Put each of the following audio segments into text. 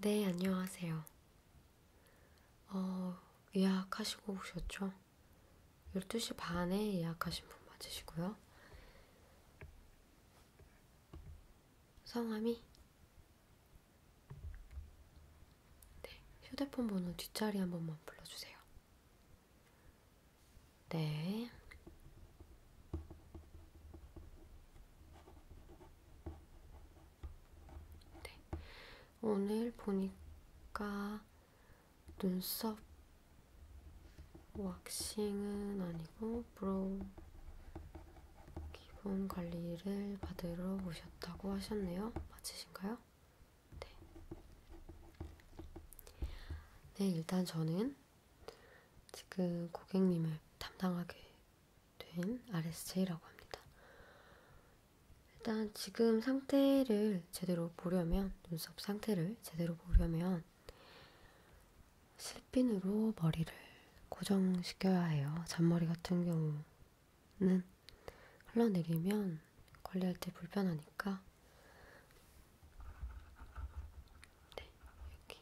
네, 안녕하세요. 어, 예약하시고 오셨죠? 12시 반에 예약하신 분 맞으시고요. 성함이? 네, 휴대폰 번호 뒷자리 한 번만 불러주세요. 네. 네. 오늘 보니까 눈썹 왁싱은 아니고 브로우 기본 관리를 받으러 오셨다고 하셨네요. 맞으신가요? 네. 네, 일단 저는 지금 고객님을 담당하게 된 RSJ라고 합니다. 일단 지금 상태를 제대로 보려면, 눈썹 상태를 제대로 보려면, 슬핀으로 머리를 고정시켜야 해요. 잔머리 같은 경우는 흘러내리면 관리할 때 불편하니까 네, 이렇게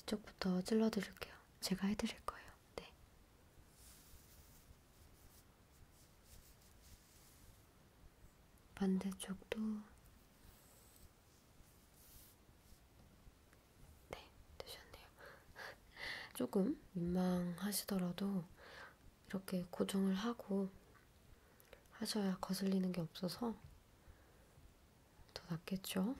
이쪽부터 찔러드릴게요. 제가 해드릴 거예요. 네. 반대쪽도 네, 되셨네요. 조금 민망하시더라도 이렇게 고정을 하고 하셔야 거슬리는 게 없어서 더 낫겠죠?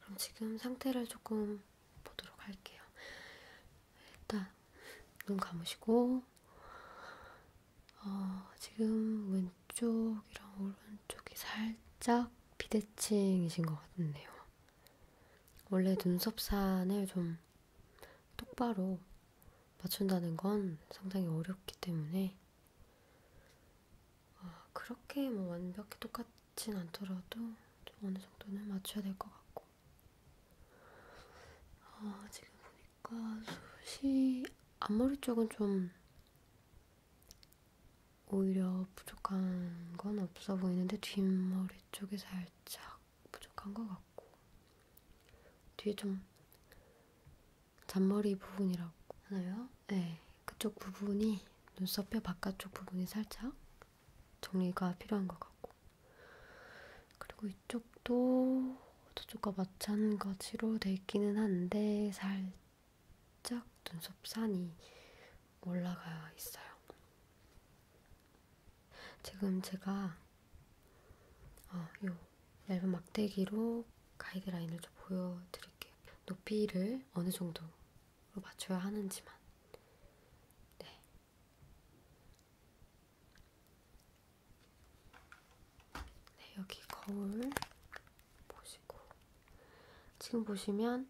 그럼 지금 상태를 조금 보도록 할게요. 일단 눈 감으시고 어, 지금 왼쪽이랑 오른쪽이 살짝 비대칭이신 것 같네요. 원래 눈썹 산을 좀 똑바로 맞춘다는 건 상당히 어렵기 때문에 아, 그렇게 뭐 완벽히 똑같진 않더라도 어느 정도는 맞춰야 될 것 같고 아, 지금 보니까 숱이 앞머리 쪽은 좀 오히려 부족한 건 없어 보이는데 뒷머리 쪽이 살짝 부족한 것 같고 뒤에 좀 잔머리 부분이라고 하나요? 네, 그쪽 부분이 눈썹 뼈 바깥쪽 부분이 살짝 정리가 필요한 것 같고 그리고 이쪽도 저쪽과 마찬가지로 돼 있기는 한데 살짝 눈썹 산이 올라가 있어요. 지금 제가 어, 요 얇은 막대기로 가이드라인을 좀 보여드릴게요. 높이를 어느 정도로 맞춰야 하는지만. 네. 네, 여기 거울 보시고. 지금 보시면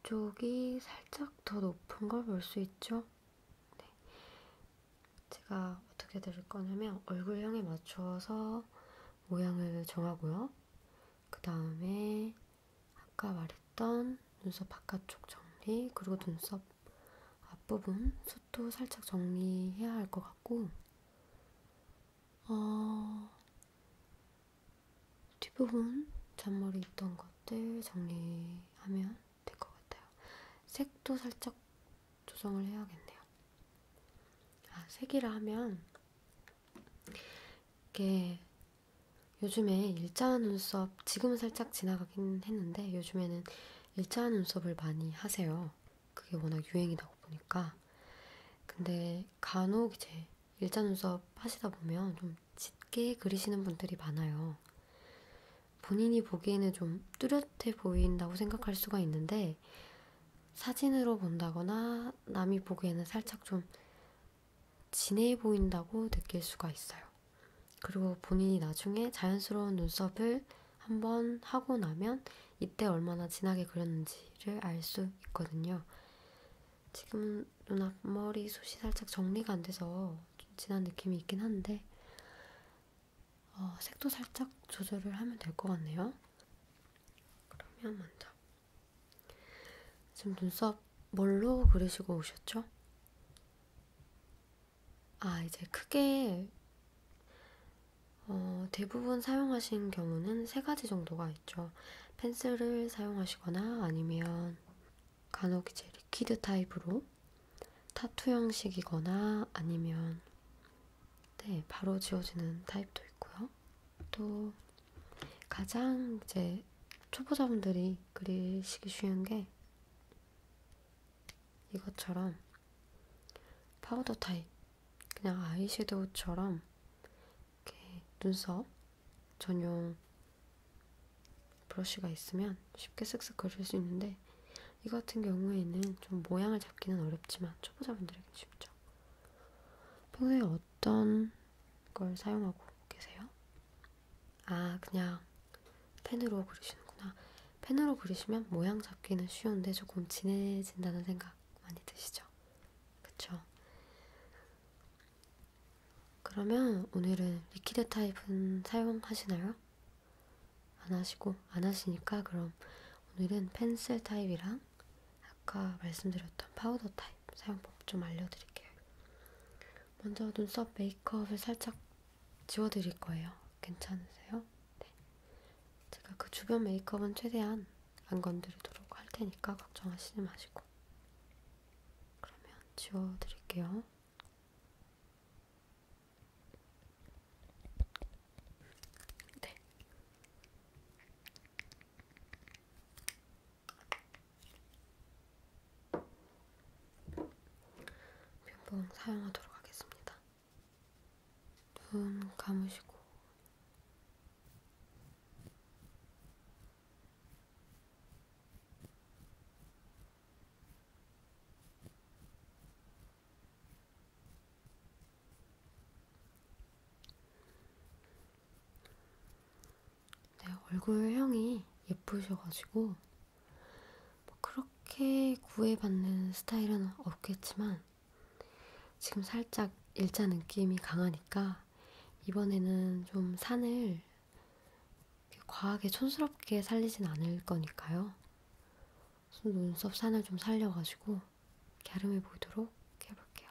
이쪽이 살짝 더 높은 걸 볼 수 있죠? 네. 제가 어떻게 드릴 거냐면 얼굴형에 맞춰서 모양을 정하고요. 그 다음에 아까 말했던 눈썹 바깥쪽 정리, 그리고 눈썹 앞부분, 숱도 살짝 정리해야 할 것 같고, 어, 뒷부분, 잔머리 있던 것들 정리하면 될것 같아요. 색도 살짝 조정을 해야겠네요. 아, 색이라 하면 이게 요즘에 일자 눈썹 지금은 살짝 지나가긴 했는데 요즘에는 일자 눈썹을 많이 하세요. 그게 워낙 유행이다 보니까 근데 간혹 이제 일자 눈썹 하시다 보면 좀 짙게 그리시는 분들이 많아요. 본인이 보기에는 좀 뚜렷해 보인다고 생각할 수가 있는데 사진으로 본다거나 남이 보기에는 살짝 좀 진해 보인다고 느낄 수가 있어요. 그리고 본인이 나중에 자연스러운 눈썹을 한번 하고 나면 이때 얼마나 진하게 그렸는지를 알 수 있거든요. 지금 눈 앞머리 숱이 살짝 정리가 안 돼서 좀 진한 느낌이 있긴 한데 어, 색도 살짝 조절을 하면 될 것 같네요. 그러면 먼저 지금 눈썹 뭘로 그리시고 오셨죠? 아 이제 크게 어, 대부분 사용하신 경우는 세 가지 정도가 있죠. 펜슬을 사용하시거나 아니면 간혹 이제 리퀴드 타입으로 타투 형식이거나 아니면 네, 바로 지워지는 타입도 있고요. 또 가장 이제 초보자분들이 그리시기 쉬운 게 이것처럼 파우더 타입, 그냥 아이섀도우처럼 이렇게 눈썹 전용 브러쉬가 있으면 쉽게 쓱쓱 그릴 수 있는데 있는데 이 같은 경우에는 좀 모양을 잡기는 어렵지만 초보자분들에게 쉽죠. 평소에 어떤 걸 사용하고 계세요? 아, 그냥 펜으로 그리시는구나. 펜으로 그리시면 모양 잡기는 쉬운데 조금 진해진다는 생각 많이 드시죠? 그쵸? 그러면 오늘은 리퀴드 타입은 사용하시나요? 안 하시고 안 하시니까 그럼 오늘은 펜슬 타입이랑 아까 말씀드렸던 파우더 타입 사용법 좀 알려드릴게요. 먼저 눈썹 메이크업을 살짝 지워드릴 거예요. 괜찮으세요? 네. 제가 그 주변 메이크업은 최대한 안 건드리도록 할 테니까 걱정하시지 마시고. 그러면 지워드릴게요. 네. 면봉 사용하도록 하겠습니다. 눈 감으시고 네, 얼굴형이 예쁘셔가지고 뭐 그렇게 구애받는 스타일은 없겠지만 지금 살짝 일자 느낌이 강하니까 이번에는 좀 산을 과하게 촌스럽게 살리진 않을 거니까요. 눈썹 산을 좀 살려가지고 갸름해 보이도록 해볼게요.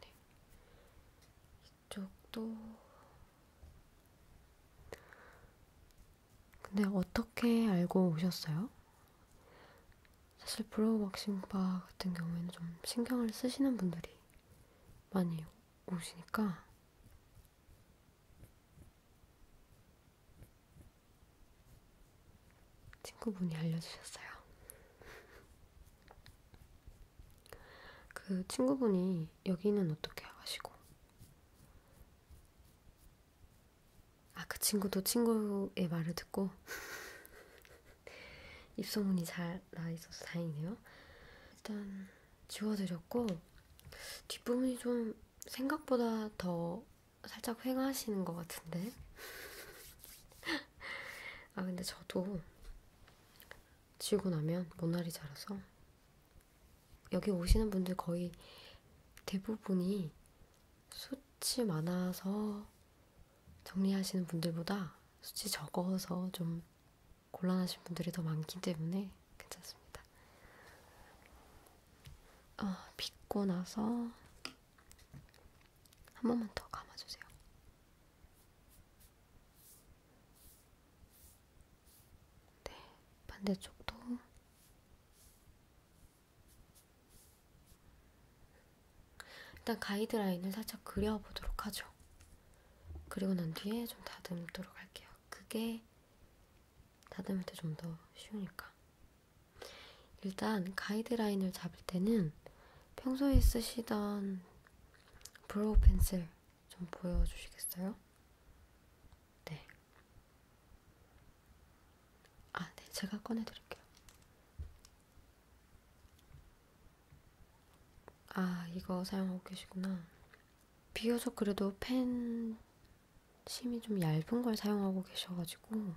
네. 이쪽도 근데 어떻게 알고 오셨어요? 사실 브로우 왁싱 바 같은 경우에는 좀 신경을 쓰시는 분들이 많이 오시니까 친구분이 알려주셨어요. 그 친구분이 여기는 어떻게 하시고 아, 그 친구도 친구의 말을 듣고 입소문이 잘 나있어서 다행이네요. 일단 지워드렸고 뒷부분이 좀 생각보다 더 살짝 휑하시는 것 같은데 아 근데 저도 지우고 나면 모나리 자라서 여기 오시는 분들 거의 대부분이 숱이 많아서 정리하시는 분들보다 수치 적어서 좀 곤란하신 분들이 더 많기 때문에 괜찮습니다. 어, 아, 빗고 나서 한 번만 더 감아주세요. 네, 반대쪽도 일단 가이드라인을 살짝 그려보도록 하죠. 그리고 난 뒤에 좀 다듬도록 할게요. 그게 다듬을 때 좀 더 쉬우니까. 일단 가이드라인을 잡을 때는 평소에 쓰시던 브로우 펜슬 좀 보여주시겠어요? 네. 아, 네. 제가 꺼내드릴게요. 아, 이거 사용하고 계시구나. 비교적 그래도 펜 심이 좀 얇은 걸 사용하고 계셔가지고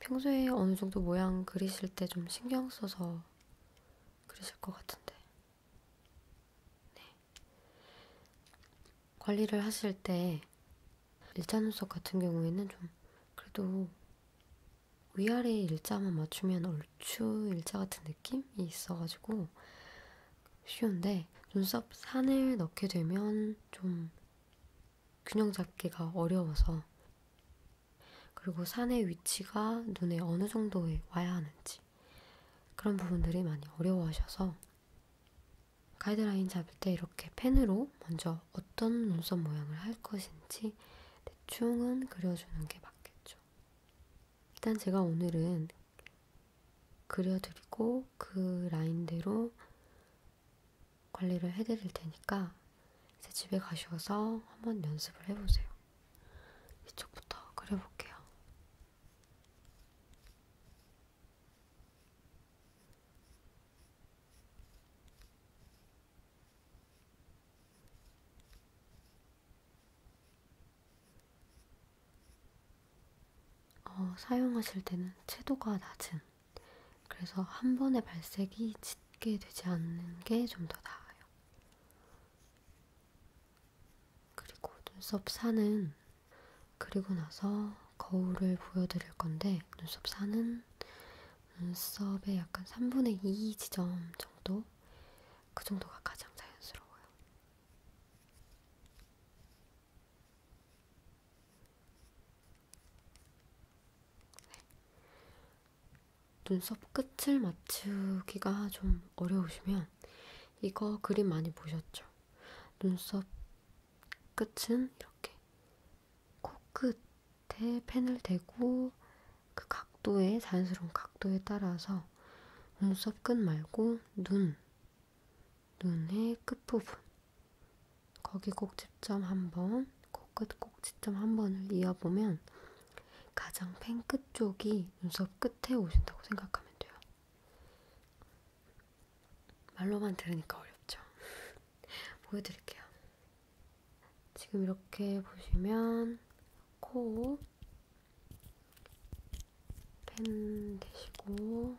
평소에 어느 정도 모양 그리실 때 좀 신경 써서 그리실 것 같은데. 네. 관리를 하실 때 일자 눈썹 같은 경우에는 좀 그래도 위아래 일자만 맞추면 얼추 일자 같은 느낌이 있어가지고 쉬운데 눈썹 산을 넣게 되면 좀 균형 잡기가 어려워서 그리고 산의 위치가 눈에 어느 정도에 와야 하는지 그런 부분들이 많이 어려워하셔서 가이드라인 잡을 때 이렇게 펜으로 먼저 그래서 어떤 눈썹 모양을 할 것인지 대충은 그려주는 게 맞겠죠. 일단 제가 오늘은 그려드리고 그 라인대로 관리를 해드릴 테니까 이제 집에 가셔서 한번 연습을 해보세요. 이쪽부터 그려볼게요. 어, 사용하실 때는 채도가 낮은, 그래서 한 번에 발색이 짙게 되지 않는 게 좀 더 나아요. 그리고 눈썹 산은 그리고 나서 거울을 보여드릴 건데 눈썹 사는 눈썹의 약간 3분의 2 지점 정도 그 정도가 가장 자연스러워요. 네. 눈썹 끝을 맞추기가 좀 어려우시면 이거 그림 많이 보셨죠? 눈썹 끝은 이렇게 코끝에 그 펜을 대고 그 각도에 자연스러운 각도에 따라서 눈썹 끝 말고 눈, 눈의 끝부분 거기 꼭집점 한번 코끝 그 꼭집점 한 번을 이어보면 가장 펜 끝 쪽이 눈썹 끝에 오신다고 생각하면 돼요. 말로만 들으니까 어렵죠. 보여드릴게요. 지금 이렇게 보시면 코펜 대시고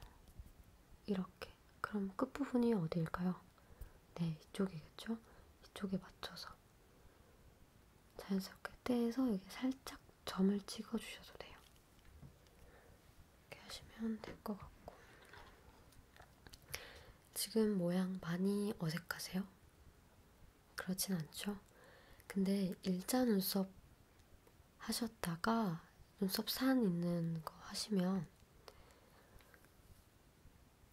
이렇게 그럼 끝부분이 어디일까요? 네, 이쪽이겠죠? 이쪽에 맞춰서 자연스럽게 떼서 여기 살짝 점을 찍어주셔도 돼요. 이렇게 하시면 될 것 같고 지금 모양 많이 어색하세요? 그렇진 않죠? 근데 일자 눈썹 하셨다가 눈썹 산 있는 거 하시면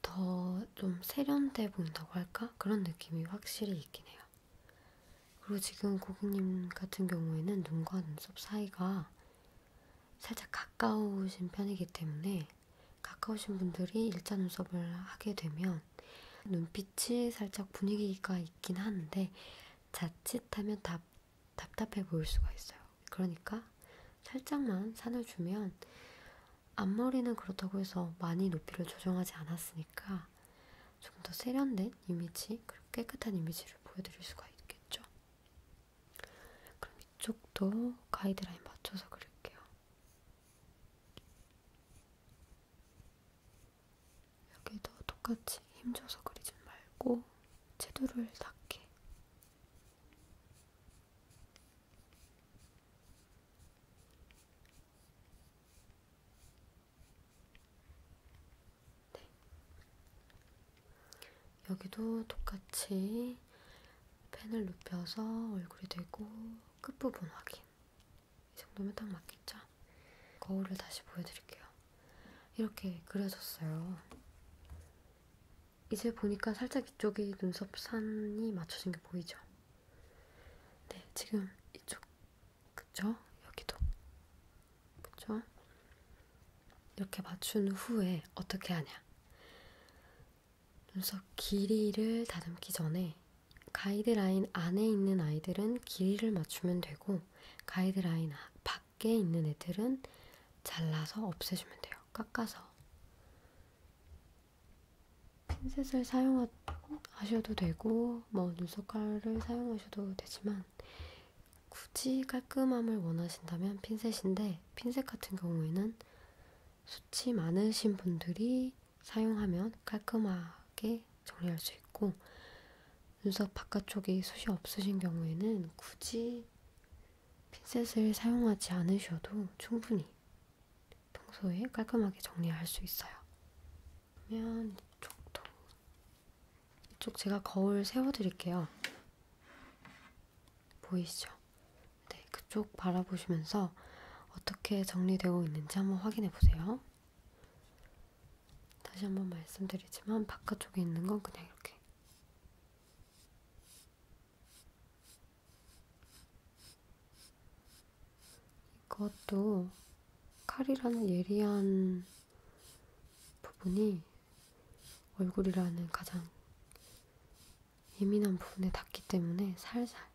더 좀 세련돼 보인다고 할까? 그런 느낌이 확실히 있긴 해요. 그리고 지금 고객님 같은 경우에는 눈과 눈썹 사이가 살짝 가까우신 편이기 때문에 가까우신 분들이 일자 눈썹을 하게 되면 눈빛이 살짝 분위기가 있긴 하는데 자칫하면 답, 답답해 보일 수가 있어요. 그러니까 살짝만 산을 주면 앞머리는 그렇다고 해서 많이 높이를 조정하지 않았으니까 조금 더 세련된 이미지 그리고 깨끗한 이미지를 보여드릴 수가 있겠죠. 그럼 이쪽도 가이드라인 맞춰서 그릴게요. 여기도 똑같이 힘줘서 그리지 말고 채도를 낮게. 네. 여기도 똑같이 펜을 눕혀서 얼굴이 되고 끝부분 확인. 이 정도면 딱 맞겠죠? 거울을 다시 보여드릴게요. 이렇게 그려졌어요. 이제 보니까 살짝 이쪽이 눈썹 산이 맞춰진 게 보이죠? 네, 지금 이쪽, 그쵸? 여기도. 그쵸? 이렇게 맞춘 후에 어떻게 하냐? 눈썹 길이를 다듬기 전에 가이드라인 안에 있는 아이들은 길이를 맞추면 되고 가이드라인 아, 밖에 있는 애들은 잘라서 없애주면 돼요. 깎아서. 핀셋을 사용하셔도 되고 뭐 눈썹 칼을 사용하셔도 되지만 굳이 깔끔함을 원하신다면 핀셋인데 핀셋 같은 경우에는 수치 많으신 분들이 사용하면 깔끔하게 정리할 수 있고 눈썹 바깥쪽이 숱이 없으신 경우에는 굳이 핀셋을 사용하지 않으셔도 충분히 평소에 깔끔하게 정리할 수 있어요. 그러면 이쪽도 이쪽 제가 거울 세워드릴게요. 보이시죠? 네, 그쪽 바라보시면서 어떻게 정리되고 있는지 한번 확인해 보세요. 다시 한번 말씀드리지만 바깥쪽에 있는 건 그냥 이렇게 이것도 칼이라는 예리한 부분이 얼굴이라는 가장 예민한 부분에 닿기 때문에 살살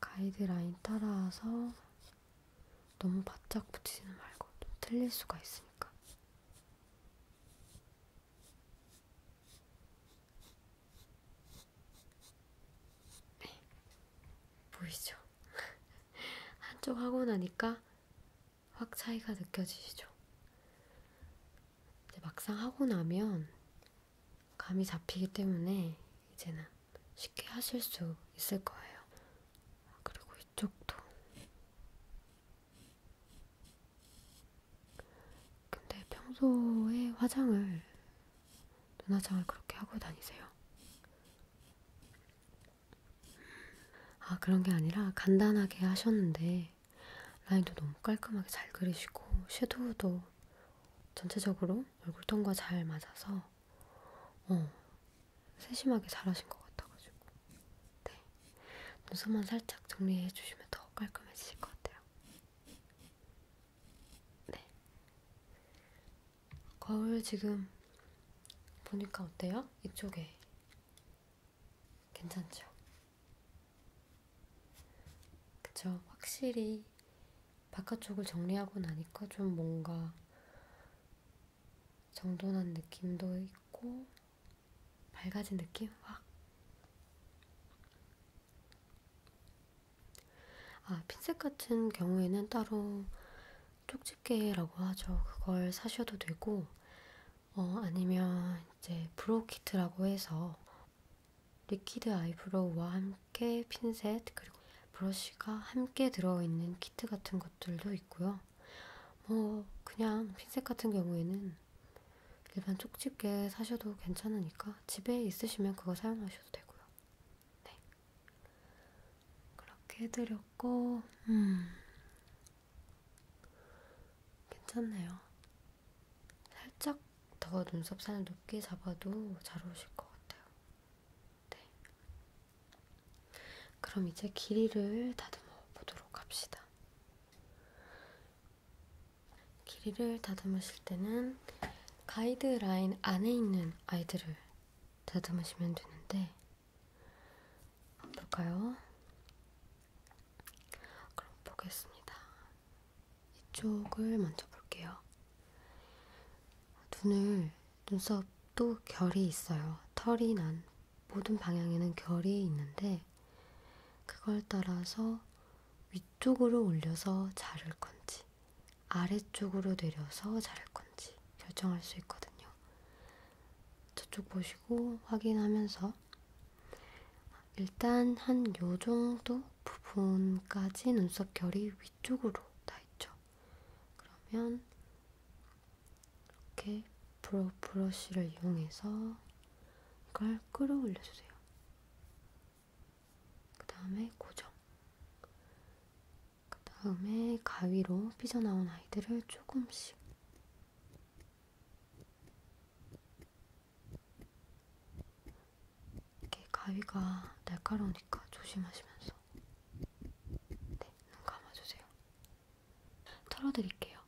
가이드라인 따라서 너무 바짝 붙이지는 말고 좀 틀릴 수가 있으니까 네. 보이죠? 한쪽 하고 나니까 확 차이가 느껴지시죠? 이제 막상 하고 나면 감이 잡히기 때문에 이제는 쉽게 하실 수 있을 거예요. 그리고 이쪽도. 근데 평소에 화장을 눈화장을 그렇게 하고 다니세요? 아 그런 게 아니라 간단하게 하셨는데 라인도 너무 깔끔하게 잘 그리시고 섀도우도 전체적으로 얼굴톤과 잘 맞아서 어 세심하게 잘하신 것 같아가지고 네 눈썹만 살짝 정리해 주시면 더 깔끔해지실 것 같아요. 네 거울 지금 보니까 어때요? 이쪽에 괜찮죠? 그쵸? 확실히 바깥쪽을 정리하고 나니까 좀 뭔가 정돈한 느낌도 있고 밝아진 느낌? 확 아, 핀셋 같은 경우에는 따로 쪽집게라고 하죠. 그걸 사셔도 되고, 어, 아니면 이제 브로우키트라고 해서 리퀴드 아이브로우와 함께 핀셋 그리고 브러쉬가 함께 들어있는 키트 같은 것들도 있고요. 뭐 그냥 핀셋 같은 경우에는 일반 쪽집게 사셔도 괜찮으니까 집에 있으시면 그거 사용하셔도 되고요. 네. 그렇게 해드렸고, 음. 괜찮네요. 살짝 더 눈썹선을 높게 잡아도 잘 어울릴 것 같아요. 네. 그럼 이제 길이를 다듬어 보도록 합시다. 길이를 다듬으실 때는 가이드라인 안에 있는 아이들을 다듬으시면 되는데 볼까요? 그럼 보겠습니다. 이쪽을 먼저 볼게요. 눈을 눈썹도 결이 있어요. 털이 난 모든 방향에는 결이 있는데 그걸 따라서 위쪽으로 올려서 자를 건지 아래쪽으로 내려서 자를 건지 결정할 수 있거든요. 저쪽 보시고 확인하면서 일단 한 요 정도 부분까지 눈썹 결이 위쪽으로 나 있죠. 그러면 이렇게 브러, 브러쉬를 이용해서 이걸 끌어올려주세요. 그 다음에 고정. 그 다음에 가위로 삐져나온 아이들을 조금씩 이렇게 가위가 날카로우니까 조심하시면서 네, 눈 감아주세요. 털어드릴게요.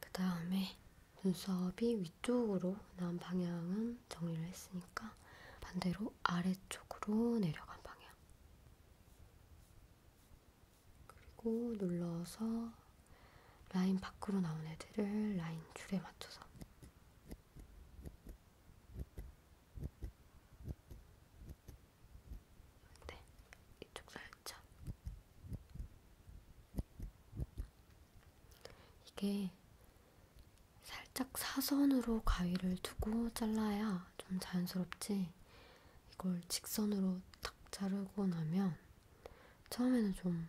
그 다음에 눈썹이 위쪽으로 나온 방향은 정리를 했으니까 반대로 아래쪽으로 내려간 방향. 그리고 눌러서 라인 밖으로 나온 애들을 라인 줄에 맞춰서 네, 이쪽 살짝. 이게 살짝 사선으로 가위를 두고 잘라야 좀 자연스럽지, 이걸 직선으로 탁 자르고 나면 처음에는 좀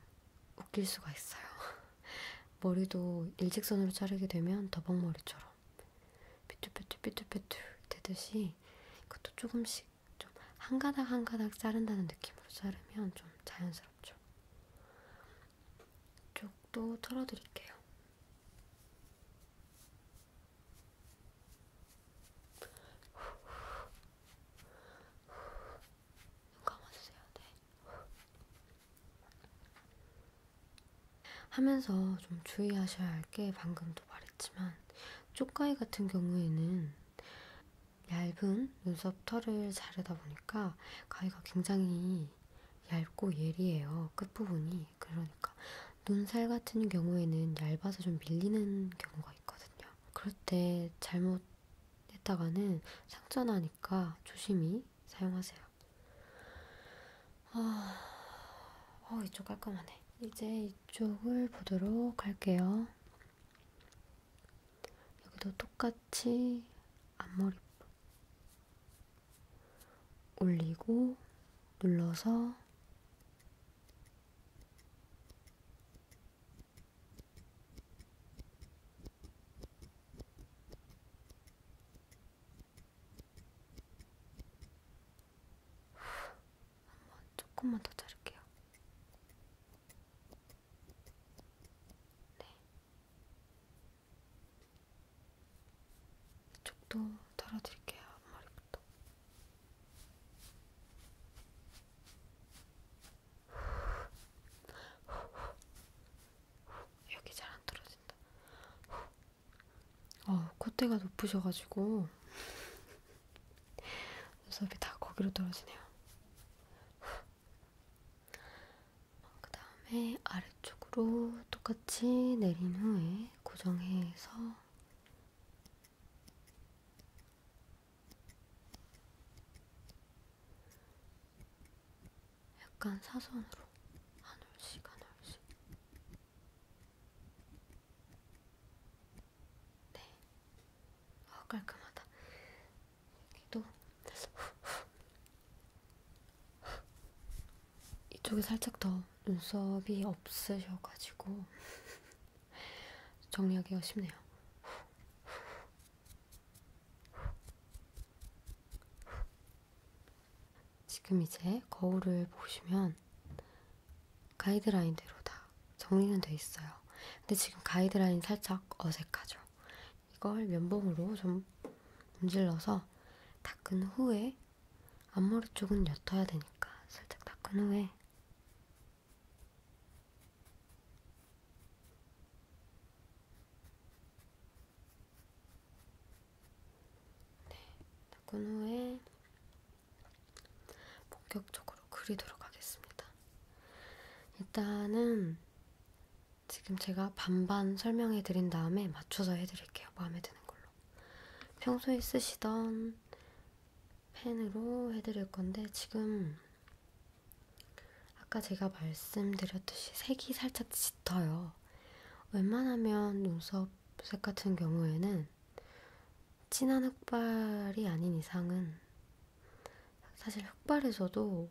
웃길 수가 있어요. 머리도 일직선으로 자르게 되면 더벅머리처럼. 삐뚤삐뚤삐뚤삐뚤 되듯이 이것도 조금씩 좀 한 가닥 한 가닥 자른다는 느낌으로 자르면 좀 자연스럽죠. 이쪽도 털어드릴게요. 눈 감아주세요. 네. 하면서 좀 주의하셔야 할 게 방금도 말했지만 쪽가위 같은 경우에는 얇은 눈썹 털을 자르다 보니까 가위가 굉장히 얇고 예리해요. 끝부분이. 그러니까 눈살 같은 경우에는 얇아서 좀 밀리는 경우가 있거든요. 그럴 때 잘못 했다가는 상처 나니까 조심히 사용하세요. 아, 어, 이쪽 깔끔하네. 이제 이쪽을 보도록 할게요. 여기도 똑같이 앞머리 올리고 눌러서 한번 조금만 더 자를게요. 네. 이쪽도 달아드릴게요. 앞머리부터. 여기 잘 안 떨어지죠? 진다. 어, 콧대가 높으셔가지고 눈썹이 다 거기로 떨어지네요. 그 다음에 아래쪽으로 똑같이 내린 후에 고정해서 약간 사선으로 한 올씩 한 올씩 네, 어, 깔끔하다 여기도 이쪽에 살짝 더 눈썹이 없으셔가지고 정리하기가 쉽네요. 지금 이제 거울을 보시면 가이드라인대로 다 정리는 돼 있어요. 근데 지금 가이드라인 살짝 어색하죠. 이걸 면봉으로 좀 문질러서 닦은 후에 앞머리 쪽은 옅어야 되니까 살짝 닦은 후에 네, 닦은 후에 본격적으로 그리도록 하겠습니다. 일단은 지금 제가 반반 설명해 드린 다음에 맞춰서 해드릴게요. 마음에 드는 걸로. 평소에 쓰시던 펜으로 해드릴 건데 지금 아까 제가 말씀드렸듯이 색이 살짝 짙어요. 웬만하면 눈썹색 같은 경우에는 진한 흑발이 아닌 이상은 사실 흑발에서도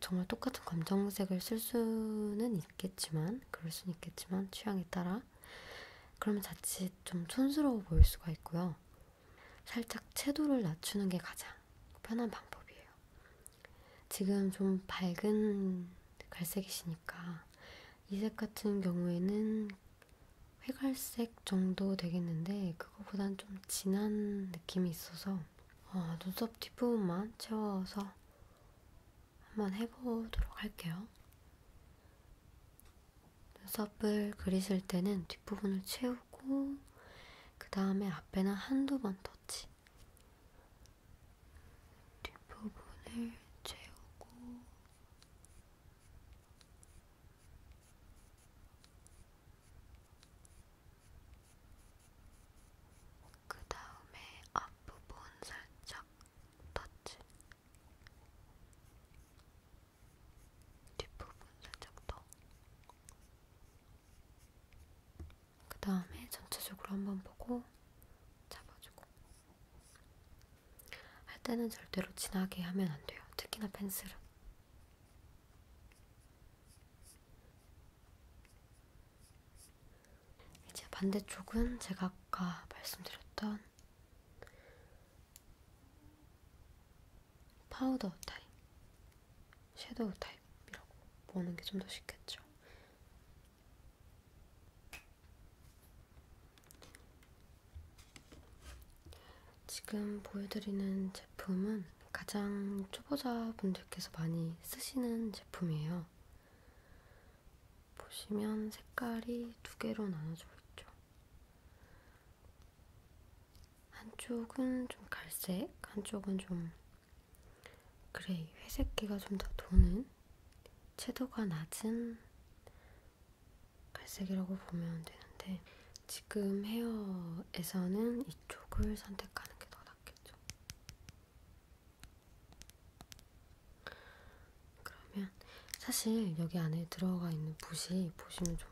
정말 똑같은 검정색을 쓸 수는 있겠지만, 그럴 수는 있겠지만, 취향에 따라. 그러면 자칫 좀 촌스러워 보일 수가 있고요. 살짝 채도를 낮추는 게 가장 편한 방법이에요. 지금 좀 밝은 갈색이시니까 이 색 같은 경우에는 회갈색 정도 되겠는데 그거보단 좀 진한 느낌이 있어서 어, 눈썹 뒷부분만 채워서 한번 해보도록 할게요. 눈썹을 그리실 때는 뒷부분을 채우고 그 다음에 앞에는 한두 번 터치 뒷부분을 채우고 그 다음에 앞부분 살짝 터치 뒷부분 살짝 더그 다음에 전체적으로 한번 보고 잡아주고 할 때는 절대로 진하게 하면 안 돼요. 특히나 펜슬은. 이제 반대쪽은 제가 아까 말씀드렸던 파우더 타입, 섀도우 타입. 타입이라고 보는 게 좀 더 쉽겠죠. 지금 보여드리는 제품은 가장 초보자분들께서 많이 쓰시는 제품이에요. 보시면 색깔이 두 개로 나눠져 있죠. 한쪽은 좀 갈색, 한쪽은 좀 그래, 회색계가 좀 더 도는 채도가 낮은 갈색이라고 보면 되는데 지금 헤어에서는 이쪽을 선택하는 게 더 낫겠죠. 그러면 사실 여기 안에 들어가 있는 붓이 보시면 좀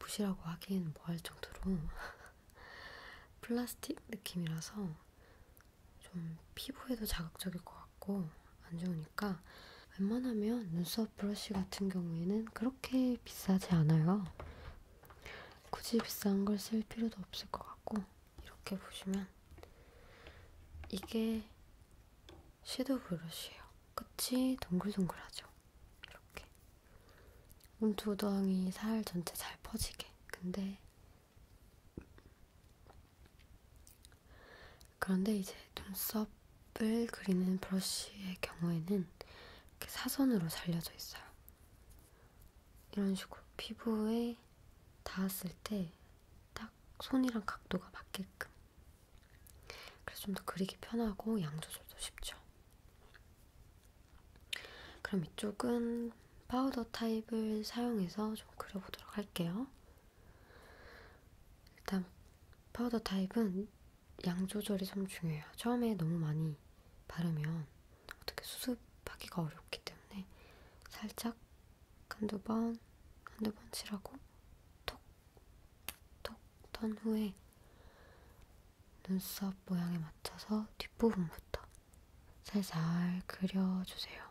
붓이라고 하기엔 뭐 할 정도로 플라스틱 느낌이라서 좀 피부에도 자극적일 것 같고 안 좋으니까 웬만하면 눈썹 브러쉬 같은 경우에는 그렇게 비싸지 않아요. 굳이 비싼 걸 쓸 필요도 없을 것 같고 이렇게 보시면 이게 섀도우 브러쉬예요. 끝이 동글동글하죠. 이렇게 몸두덩이 살 전체 잘 퍼지게. 근데 그런데 이제 눈썹을 그리는 브러쉬의 경우에는 이렇게 사선으로 잘려져 있어요. 이런 식으로 피부에 닿았을 때 딱 손이랑 각도가 맞게끔. 그래서 좀 더 그리기 편하고 양 조절도 쉽죠. 그럼 이쪽은 파우더 타입을 사용해서 좀 그려보도록 할게요. 일단 파우더 타입은 양 조절이 참 중요해요. 처음에 너무 많이 바르면 어떻게 수습하기가 어렵기 때문에 살짝 한두 번, 한두 번 칠하고 톡, 톡, 턴 후에 눈썹 모양에 맞춰서 뒷부분부터 살살 그려주세요.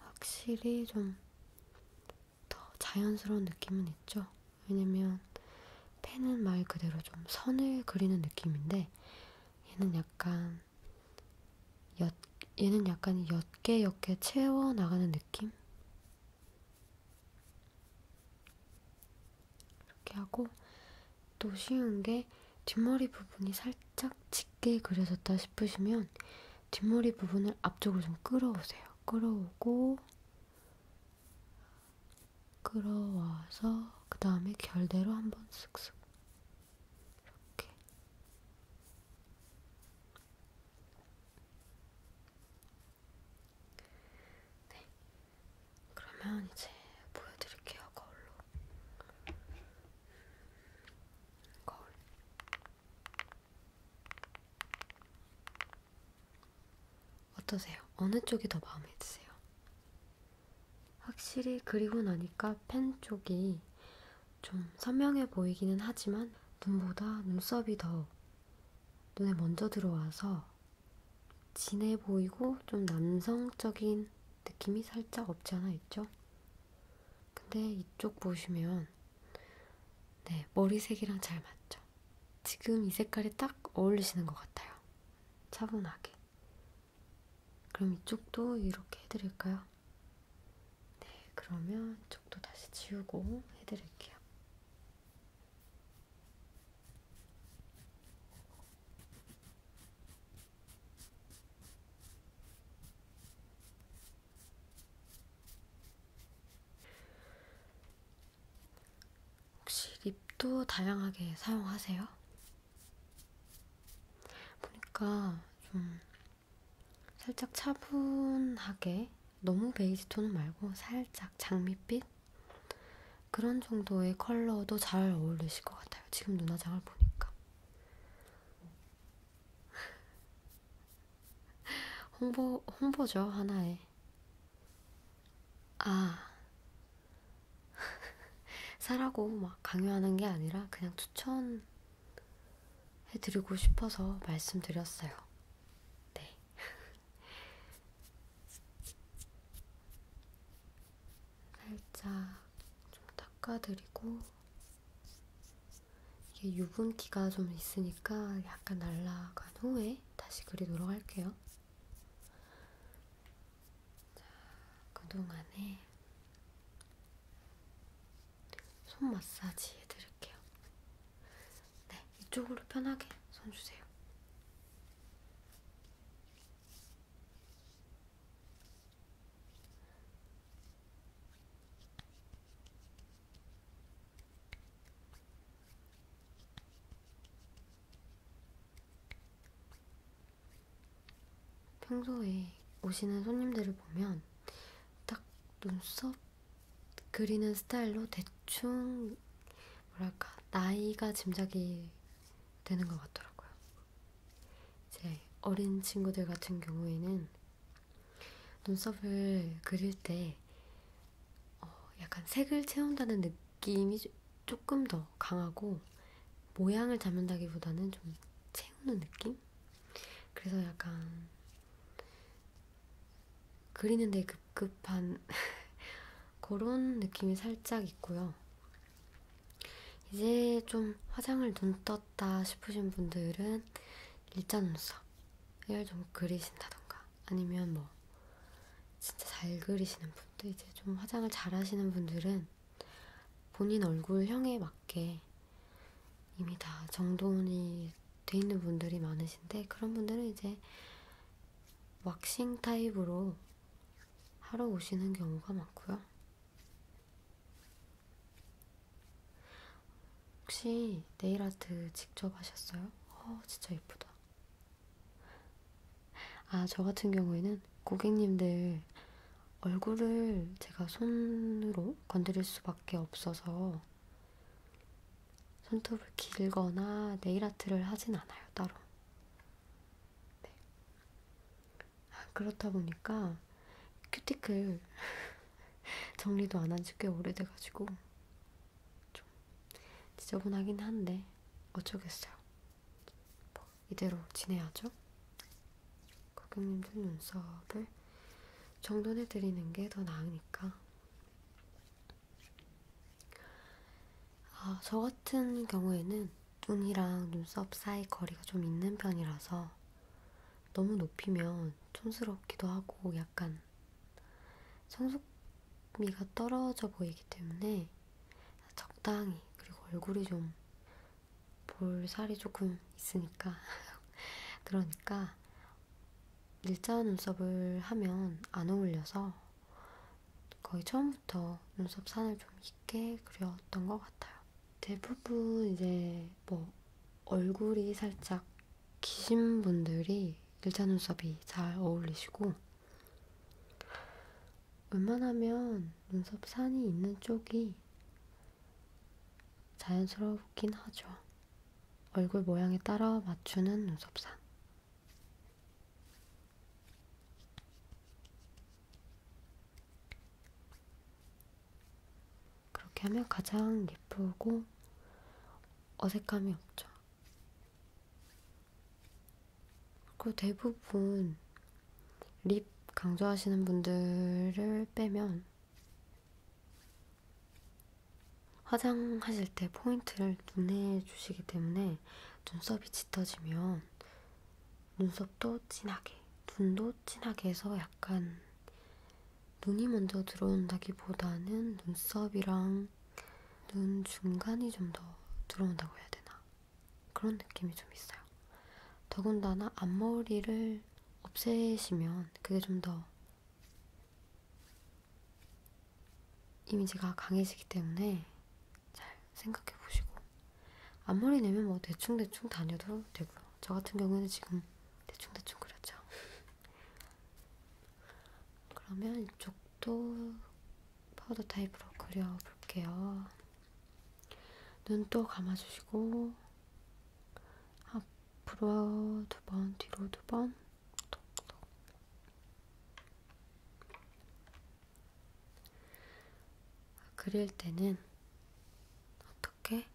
확실히 좀더 자연스러운 느낌은 있죠. 왜냐면 펜은 말 그대로 좀 선을 그리는 느낌인데 얘는 약간 엿, 얘는 약간 옅게 옅게 채워 나가는 느낌? 이렇게 하고 또 쉬운 게 뒷머리 부분이 살짝 짙게 그려졌다 싶으시면 뒷머리 부분을 앞쪽으로 좀 끌어오세요. 끌어오고 끌어와서 그 다음에 결대로 한번 쓱쓱 이렇게 네 그러면 이제 보여드릴게요 거울로 음, 거울 어떠세요? 어느 쪽이 더 마음에 드세요? 확실히 그리고 나니까 펜 쪽이 좀 선명해 보이기는 하지만 눈보다 눈썹이 더 눈에 먼저 들어와서 진해 보이고 좀 남성적인 느낌이 살짝 없지 않아 있죠? 근데 이쪽 보시면 네 머리색이랑 잘 맞죠? 지금 이 색깔이 딱 어울리시는 것 같아요. 차분하게. 그럼 이쪽도 이렇게 해드릴까요? 네, 그러면 이쪽도 다시 지우고 해드릴게요. 혹시 립도 다양하게 사용하세요? 보니까 좀 살짝 차분하게 너무 베이지 톤 말고 살짝 장밋빛 그런 정도의 컬러도 잘 어울리실 것 같아요. 지금 눈화장을 보니까 홍보 홍보죠 하나의 아, 사라고 막 강요하는 게 아니라 그냥 추천해드리고 싶어서 말씀드렸어요. 네. 살짝 좀 닦아드리고, 이게 유분기가 좀 있으니까 약간 날라간 후에 다시 그리도록 할게요. 자, 그동안에 손 마사지 해드릴게요. 네, 이쪽으로 편하게 손 주세요. 평소에 오시는 손님들을 보면 딱 눈썹 그리는 스타일로 대충 뭐랄까 나이가 짐작이 되는 것 같더라고요. 이제 어린 친구들 같은 경우에는 눈썹을 그릴 때 어, 약간 색을 채운다는 느낌이 조금 더 강하고 모양을 잡는다기보다는 좀 채우는 느낌? 그래서 약간 그리는데 급급한 그런 느낌이 살짝 있고요. 이제 좀 화장을 눈 떴다 싶으신 분들은 일자 눈썹을 좀 그리신다던가 아니면 뭐 진짜 잘 그리시는 분들 이제 좀 화장을 잘 하시는 분들은 본인 얼굴형에 맞게 이미 다 정돈이 돼 있는 분들이 많으신데 그런 분들은 이제 왁싱 타입으로 하러 오시는 경우가 많고요. 혹시 네일 아트 직접 하셨어요? 어, 진짜 예쁘다. 아, 저 같은 경우에는 고객님들 얼굴을 제가 손으로 건드릴 수밖에 없어서 손톱을 길거나 네일 아트를 하진 않아요, 따로. 네. 아, 그렇다 보니까 큐티클 정리도 안 한 지 꽤 오래돼가지고 좀 지저분하긴 한데 어쩌겠어요. 뭐 이대로 지내야죠. 고객님들 눈썹을 정돈해드리는 게 더 나으니까. 아, 저 같은 경우에는 눈이랑 눈썹 사이 거리가 좀 있는 편이라서 너무 높이면 촌스럽기도 하고 약간 보면 성숙미가 떨어져 보이기 때문에 적당히 그리고 얼굴이 좀 볼살이 조금 있으니까 그러니까 일자 눈썹을 하면 안 어울려서 거의 처음부터 눈썹 산을 좀 있게 그렸던 것 같아요. 대부분 이제 뭐 얼굴이 살짝 기신 분들이 일자 눈썹이 잘 어울리시고 웬만하면 눈썹 산이 있는 쪽이 자연스럽긴 하죠. 얼굴 모양에 따라 맞추는 눈썹 산. 그렇게 하면 가장 예쁘고 어색함이 없죠. 그리고 대부분 립 강조하시는 분들을 빼면 화장하실 때 포인트를 눈에 주시기 때문에 눈썹이 짙어지면 눈썹도 진하게, 눈도 진하게 해서 약간 눈이 먼저 들어온다기보다는 눈썹이랑 눈 중간이 좀 더 들어온다고 해야 되나? 그런 느낌이 좀 있어요. 더군다나 앞머리를 없애시면 그게 좀 더 이미지가 강해지기 때문에 잘 생각해 보시고 앞머리 내면 뭐 대충대충 다녀도 되고요. 저 같은 경우에는 지금 대충대충 그렸죠. 그러면 이쪽도 파우더 타입으로 그려볼게요. 눈 또 감아주시고 앞으로 두 번, 뒤로 두 번, 톡톡. 그릴 때는 어떻게?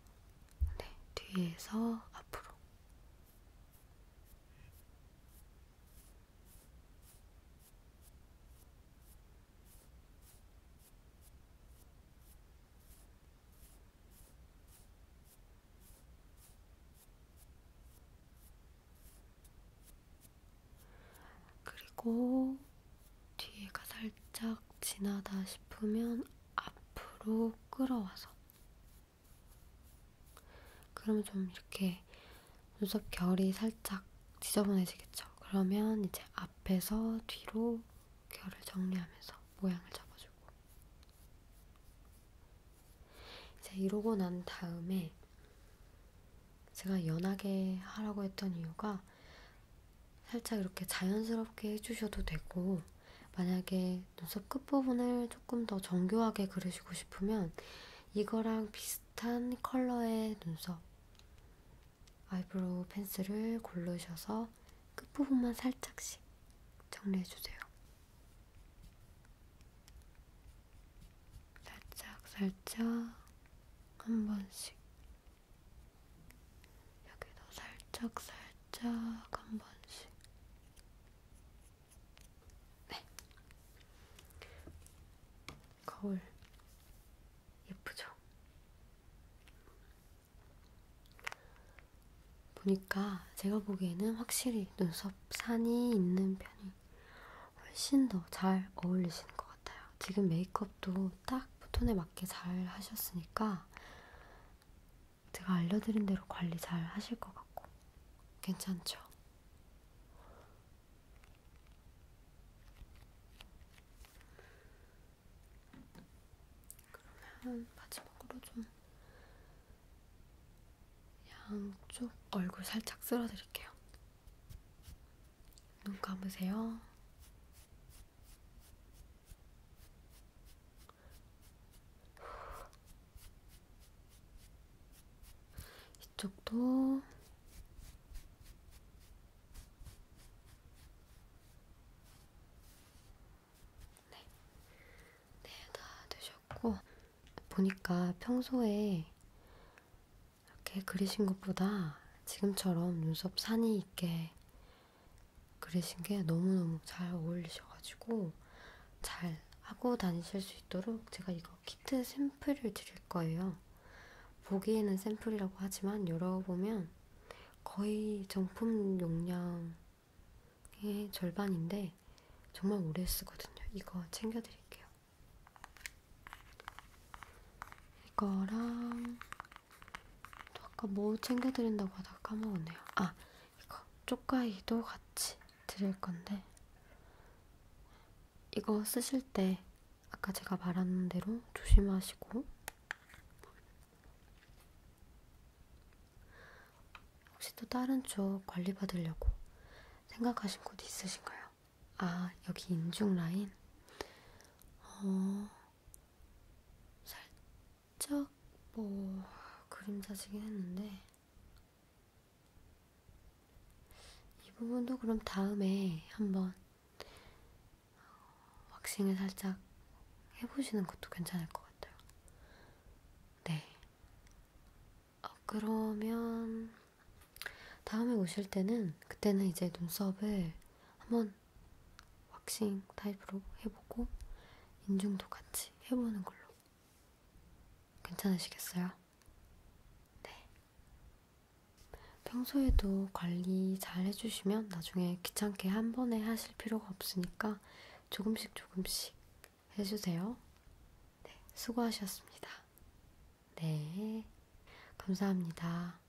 네, 뒤에서 앞으로. 그리고 뒤에가 살짝 지나다 싶으면 앞으로 끌어와서 그러면 좀 이렇게 눈썹 결이 살짝 지저분해지겠죠. 그러면 이제 앞에서 뒤로 결을 정리하면서 모양을 잡아주고 이제 이러고 난 다음에 제가 연하게 하라고 했던 이유가 살짝 이렇게 자연스럽게 해주셔도 되고 만약에 눈썹 끝부분을 조금 더 정교하게 그리시고 싶으면 이거랑 비슷한 컬러의 눈썹 아이브로우 펜슬을 고르셔서 끝부분만 살짝씩 정리해주세요. 살짝 살짝 한 번씩 여기도 살짝 살짝 한 번씩 네. 거울 예쁘죠? 보니까 제가 보기에는 확실히 눈썹 산이 있는 편이 훨씬 더 잘 어울리시는 것 같아요. 지금 메이크업도 딱 톤에 맞게 잘 하셨으니까 제가 알려드린 대로 관리 잘 하실 것 같고 괜찮죠? 그러면 마지막으로 좀 양쪽 얼굴 살짝 쓸어드릴게요. 눈 감으세요. 이쪽도 네, 네, 다 되셨고 보니까 평소에 이렇게 그리신 것보다 지금처럼 눈썹 산이 있게 그리신 게 너무너무 잘 어울리셔가지고 잘 하고 다니실 수 있도록 제가 이거 키트 샘플을 드릴 거예요. 보기에는 샘플이라고 하지만 열어보면 거의 정품 용량의 절반인데 정말 오래 쓰거든요. 이거 챙겨드릴게요. 이거랑 또 아까 뭐 챙겨드린다고 하다가 까먹었네요. 아, 이거 쪽가이도 같이 드릴 건데 이거 쓰실 때 아까 제가 말한 대로 조심하시고 혹시 또 다른 쪽 관리 받으려고 생각하신 곳 있으신가요? 아 여기 인중 라인? 어... 살 살짝 뭐 그림자지긴 했는데 이 부분도 그럼 다음에 한번 왁싱을 살짝 해보시는 것도 괜찮을 것 같아요. 네. 어, 그러면 다음에 오실 때는 그때는 이제 눈썹을 한번 왁싱 타입으로 해보고 인중도 같이 해보는 걸로. 괜찮으시겠어요? 네. 평소에도 관리 잘 해주시면 나중에 귀찮게 한 번에 하실 필요가 없으니까 조금씩 조금씩 해주세요. 네, 수고하셨습니다. 네, 감사합니다.